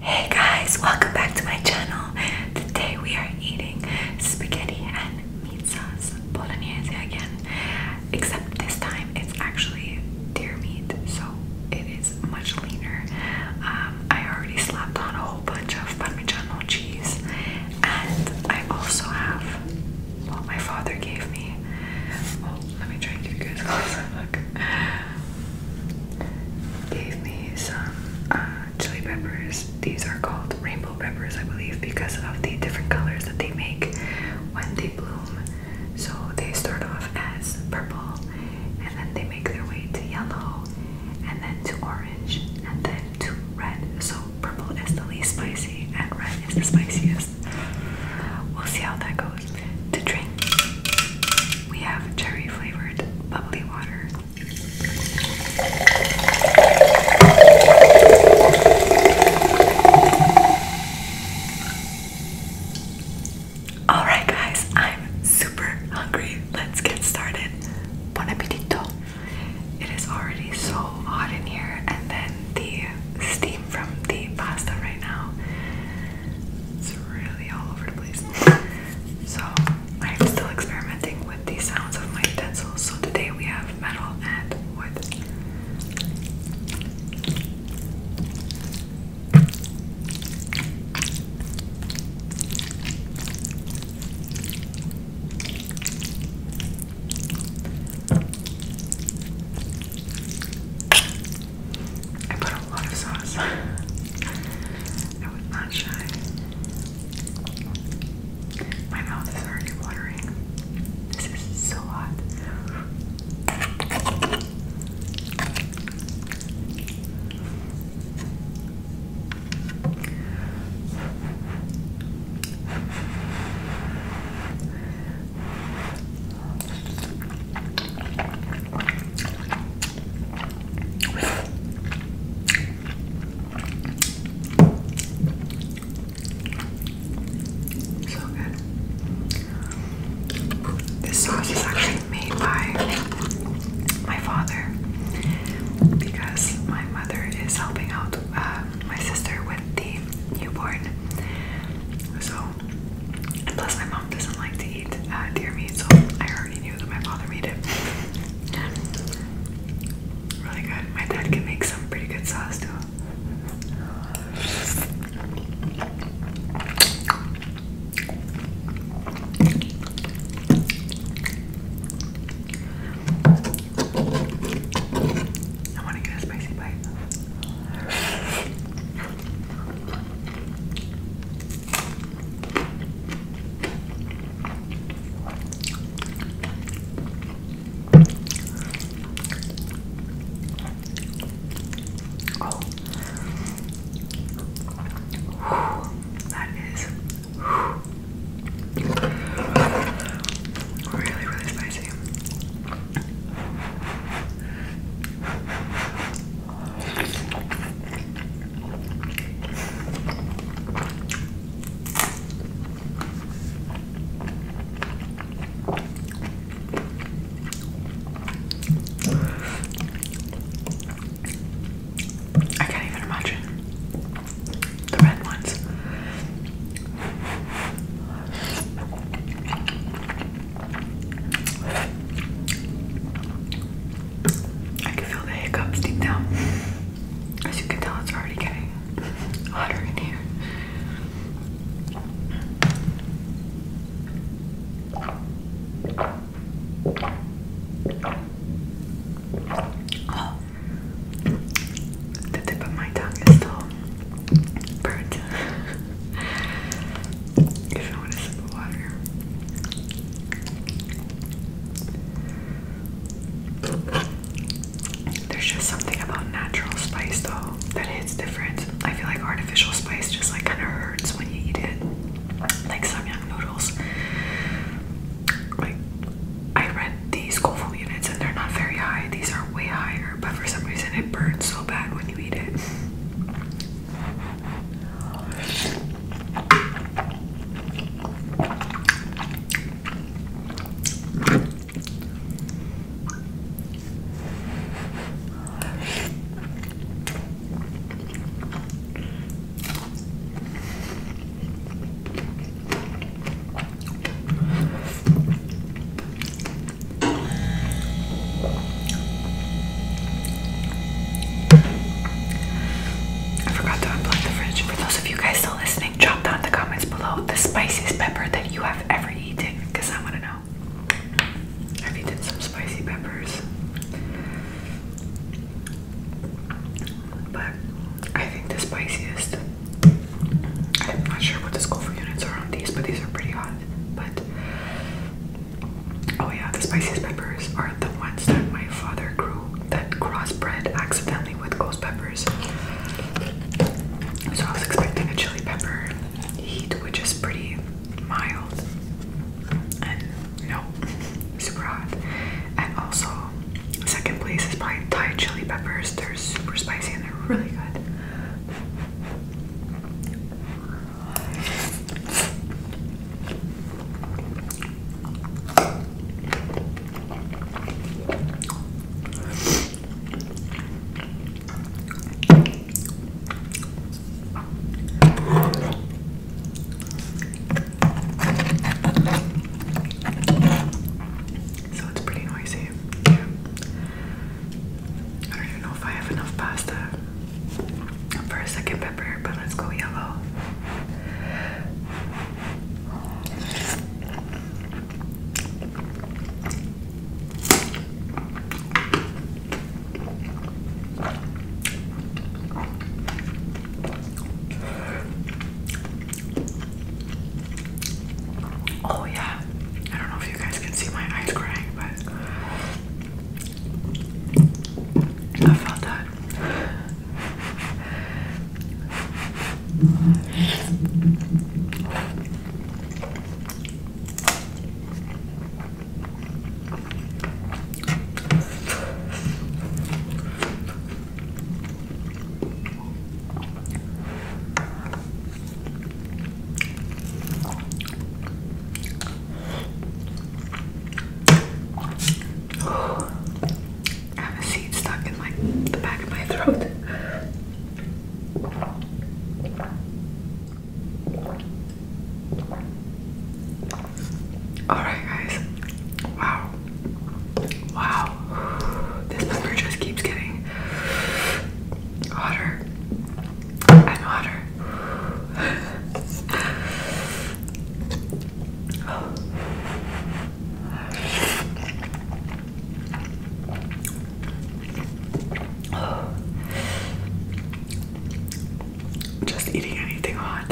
Hey guys, welcome back to my channel. Today we are eating spaghetti and meat sauce polonaise again, except this time it's actually deer meat, so it is much leaner. Um, I already slapped on a whole bunch of Parmesan cheese, and I also have, what my father gave me let me try and give you guys a closer look. Gave me some uh, chili peppers. These are called rainbow peppers, I believe, because of the different colors that they make when they bloom. So they start off as purple, and then they make their way to yellow, and then to orange, and then to red. So purple is the least spicy, and red is the spiciest. We'll see how that goes. To drink, we have cherry flavored bubbly water. Alright, guys, I'm super hungry. Let's get started. Bon appetito. It is already so hot in here, and then the steam from the pasta right now. It's really all over the place. So I'm still experimenting with the sounds of my utensils. So today we have metal and wood. I put a lot of sauce. I was not shy. My mouth is already watering. This is so hot. So good. This sauce is actually made by my father because my mother is helping out uh, my sister with the newborn so, plus my mom doesn't like to eat uh, deer meat, so I already knew that my father made it. Really good. My dad can make some pretty good sauce too. I want to get a spicy bite. Oh. that is Really, really spicy. I can't even imagine the red ones. I can feel the hiccups deep down. As you can tell, it's already getting hotter in here. Oh, the tip of my tongue is still burnt. if I want to sip water. There's just something about natural spice though that hits different. I feel like artificial spice just like kind of hurts when you eat it. Like some young noodles like I read these Scoville units and they're not very high. These are way higher, but for some reason it burns so bad when you eat it. I forgot to unplug the fridge. For those of you guys still listening, drop down in the comments below the spiciest pepper that you have ever eaten, because I want to know. I've eaten some spicy peppers but I think the spiciest. I'm not sure what the school for units are on these, but these are pretty hot. But oh yeah, the spiciest peppers are the ones that my father grew that crossbred accidentally with ghost peppers. So I was expecting a chili pepper heat, which is pretty mild and no, super hot. And also, second place is probably Thai chili peppers. They're super spicy and they're really good. So it's pretty noisy. Yeah. I don't even know if I have enough pasta for a second pepper, but let's go yellow. Oh, yeah. I don't know if you guys can see my eyes crying, but I felt that. I have a seed stuck in my the back of my throat. Alright, guys. Wow. Wow. This pepper just keeps getting hotter and hotter just eating anything hot.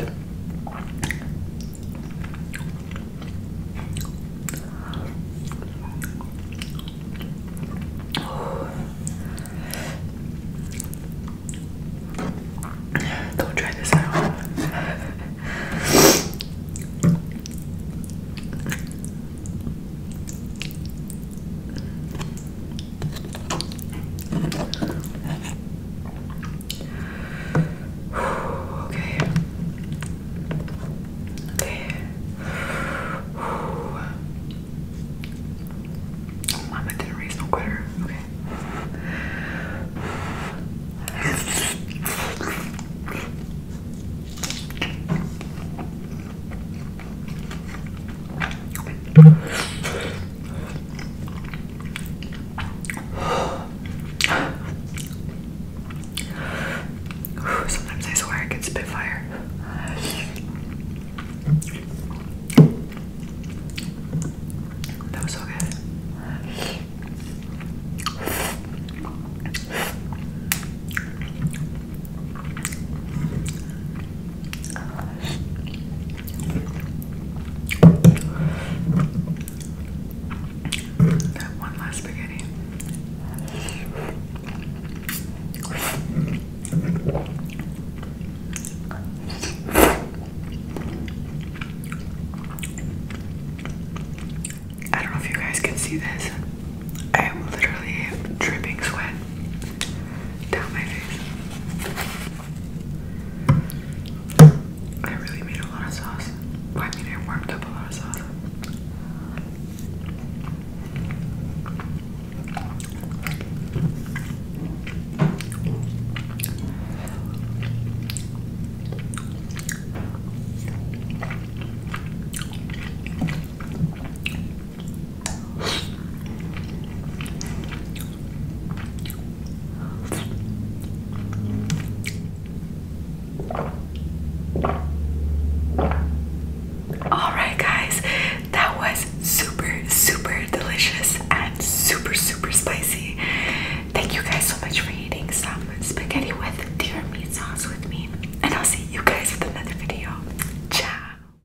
Don't try this at home okay. Okay. mama didn't raise no quitter. Okay. Sometimes I swear I can spit fire. That was so good. That one last spaghetti. I don't know if you guys can see this. I am literally dripping sweat down my face. I really made a lot of sauce. I mean, I warmed up a lot of sauce. Alright, guys, that was super, super delicious and super, super spicy. Thank you guys so much for eating some spaghetti with deer meat sauce with me, and I'll see you guys with another video. Ciao!